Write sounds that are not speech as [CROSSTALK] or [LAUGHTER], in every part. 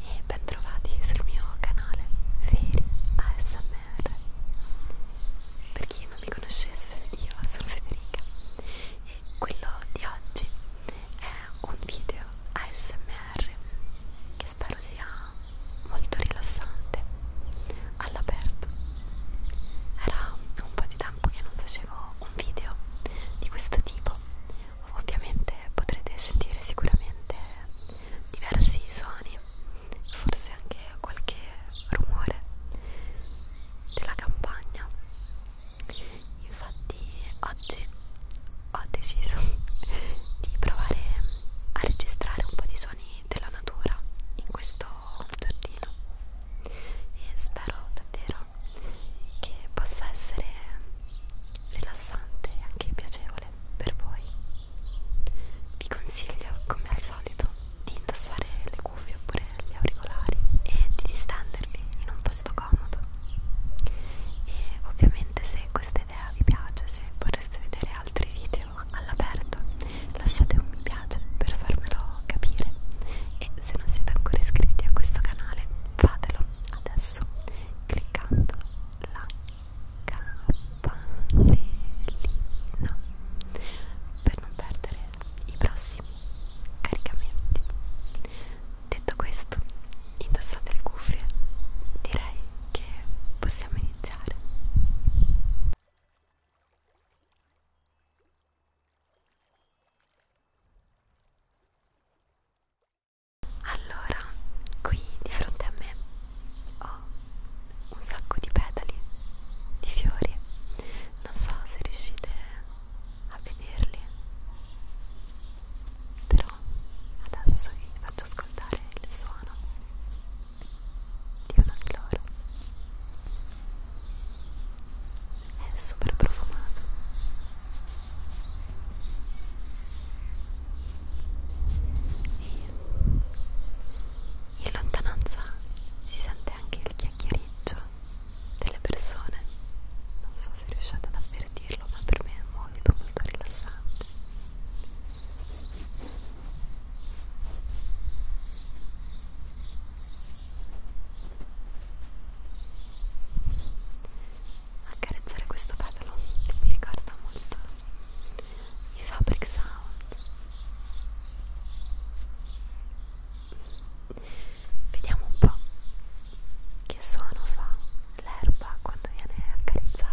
e bentrovati sul mio canale Veri ASMR. Per chi non mi conoscesse, io sono Federica e quello di oggi è un video ASMR che spero sia molto rilassante all'aperto. Era un po' di tempo che non facevo un video di questo tipo. Ovviamente potrete sentire sicuramente diversi suoni, forse anche qualche rumore della campagna. Infatti oggi ho deciso [LAUGHS] di provare a registrare un po' di suoni della natura in questo giardino e spero davvero che possa essere rilassante e anche piacevole speciale per voi. Vi consiglio, come al solito, di indossare le cuffie oppure gli auricolari e di distendervi in un posto comodo. E ovviamente se questa idea vi piace, se vorreste vedere altri video all'aperto, lasciate un mi piace per farmelo capire. E se non siete ancora iscritti a questo canale, fatelo adesso cliccando là campanellina per non perdere i prossimi caricamenti. Detto questo, indossate le cuffie, direi che possiamo iniziare. Allora, qui di fronte a me ho un sacco di petali di fiori. Non so se riuscite a vederli, però adesso vi faccio ascoltare il suono di uno di loro. È super profumato. In lontananza si sente anche il chiacchiereggio delle persone. Non so se riuscite ad avvertirlo, ma per me è molto molto rilassante. Accarezzare questo petalo mi ricorda molto i fabric sound vediamo un po' che suono fa l'erba quando viene accarezzata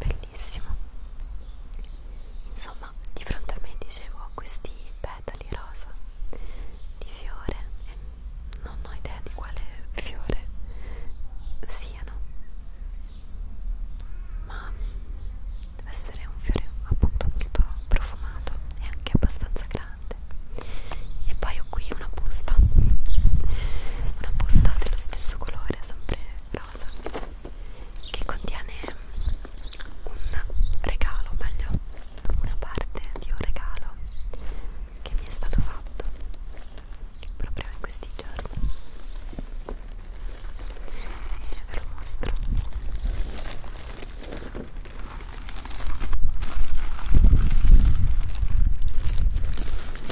bellissimo insomma di fronte a me dicevo ho questi petali rosa di fiore e non ho idea di quale fiore siano ma deve essere un fiore appunto molto profumato e anche abbastanza grande e poi ho qui una busta una busta dello stesso colore sempre rosa che contiene mm, un regalo meglio una parte di un regalo che mi è stato fatto proprio in questi giorni e ve lo mostro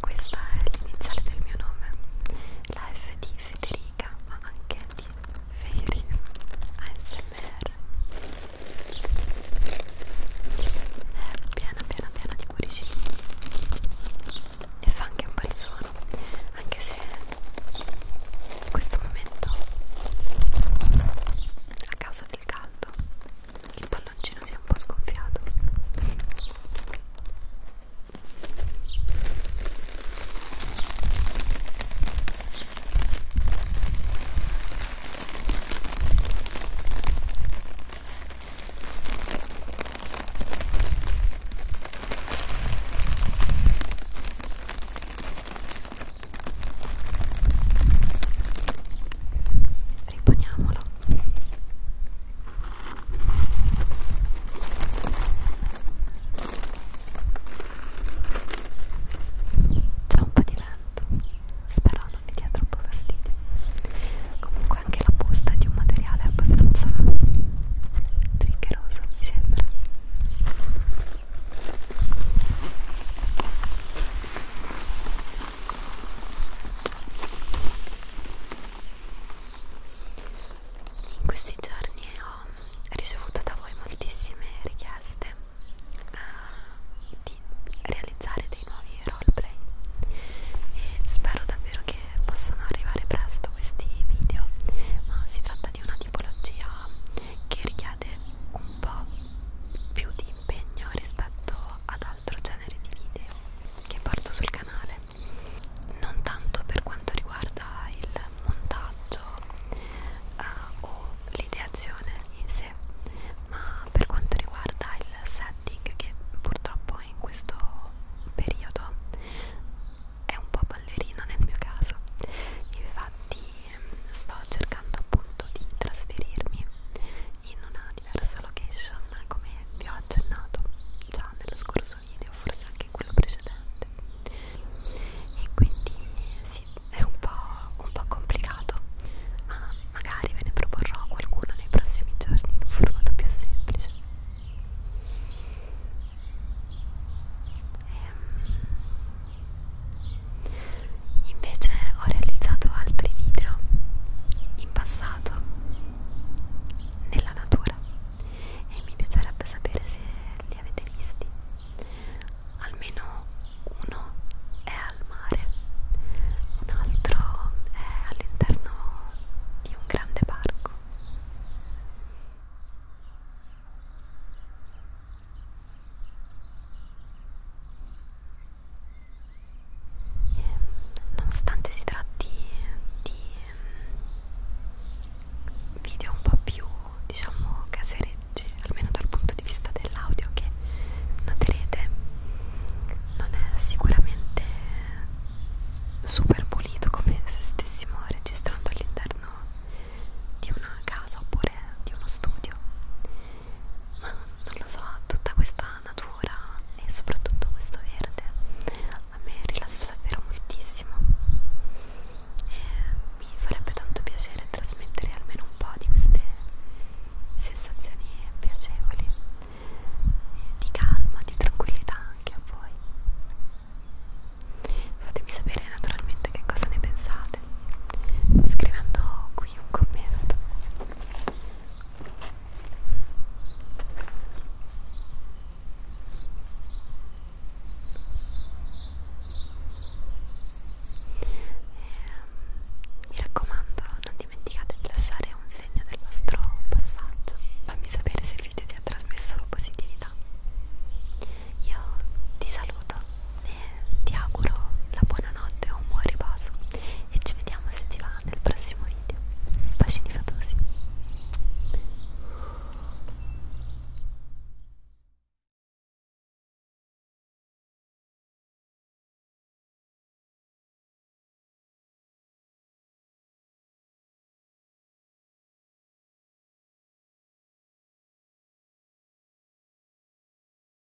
Questa è l'iniziale del mio nome, la F di Federica, ma anche di Feri ASMR. È eh, piena piena piena di cuoricini e fa anche un bel suono, anche se in questo momento a causa del caldo il palloncino si è un po' sgonfiato riponiamolo c'è un po' di vento spero non ti dia troppo fastidio comunque anche la busta è di un materiale abbastanza triggeroso mi sembra in questi giorni ho ricevuto da voi moltissime richieste uh, di realizzare dei nuovi roleplay e spero davvero che possano arrivare presto questi video, ma si tratta di una tipologia che richiede un po' più di impegno rispetto ad altro genere di video che porto sul canale non tanto per quanto riguarda il montaggio eh, o l'ideazione in sé ma per quanto riguarda il setting che purtroppo in questo periodo è un po' ballerino nel mio caso infatti sto cercando appunto di trasferirmi in una diversa location come vi ho accennato già nello scorso video, forse anche in quello precedente e quindi sì, è un po', un po' complicato ma magari ve ne proporrò qualcuno nei prossimi giorni in un formato più semplice e, ehm, Invece ho realizzato altri video in passato nella natura e mi piacerebbe sapere se li avete visti. Almeno uno è al mare, un altro è all'interno di un grande parco. E, ehm, nonostante si tratti di ehm, video un po' più diciamo casereggi, almeno dal punto di vista dell'audio che noterete, non è sicuramente super pulito come se stessimo registrando all'interno di una casa oppure di uno studio ma non lo so, tutta questa natura e soprattutto questo verde a me rilassa davvero moltissimo e mi farebbe tanto piacere trasmettere almeno un po' di queste sensazioni piacevoli di calma, di tranquillità anche a voi fatemi sapere naturalmente che cosa ne pensate scrivendo qui qui un commento e, ehm, mi raccomando non dimenticate di lasciare un segno del vostro passaggio fammi sapere se il video ti ha trasmesso positività io ti saluto e ti auguro la buonanotte o un buon riposo e ci vediamo se ti va nel prossimo video bacini fatosi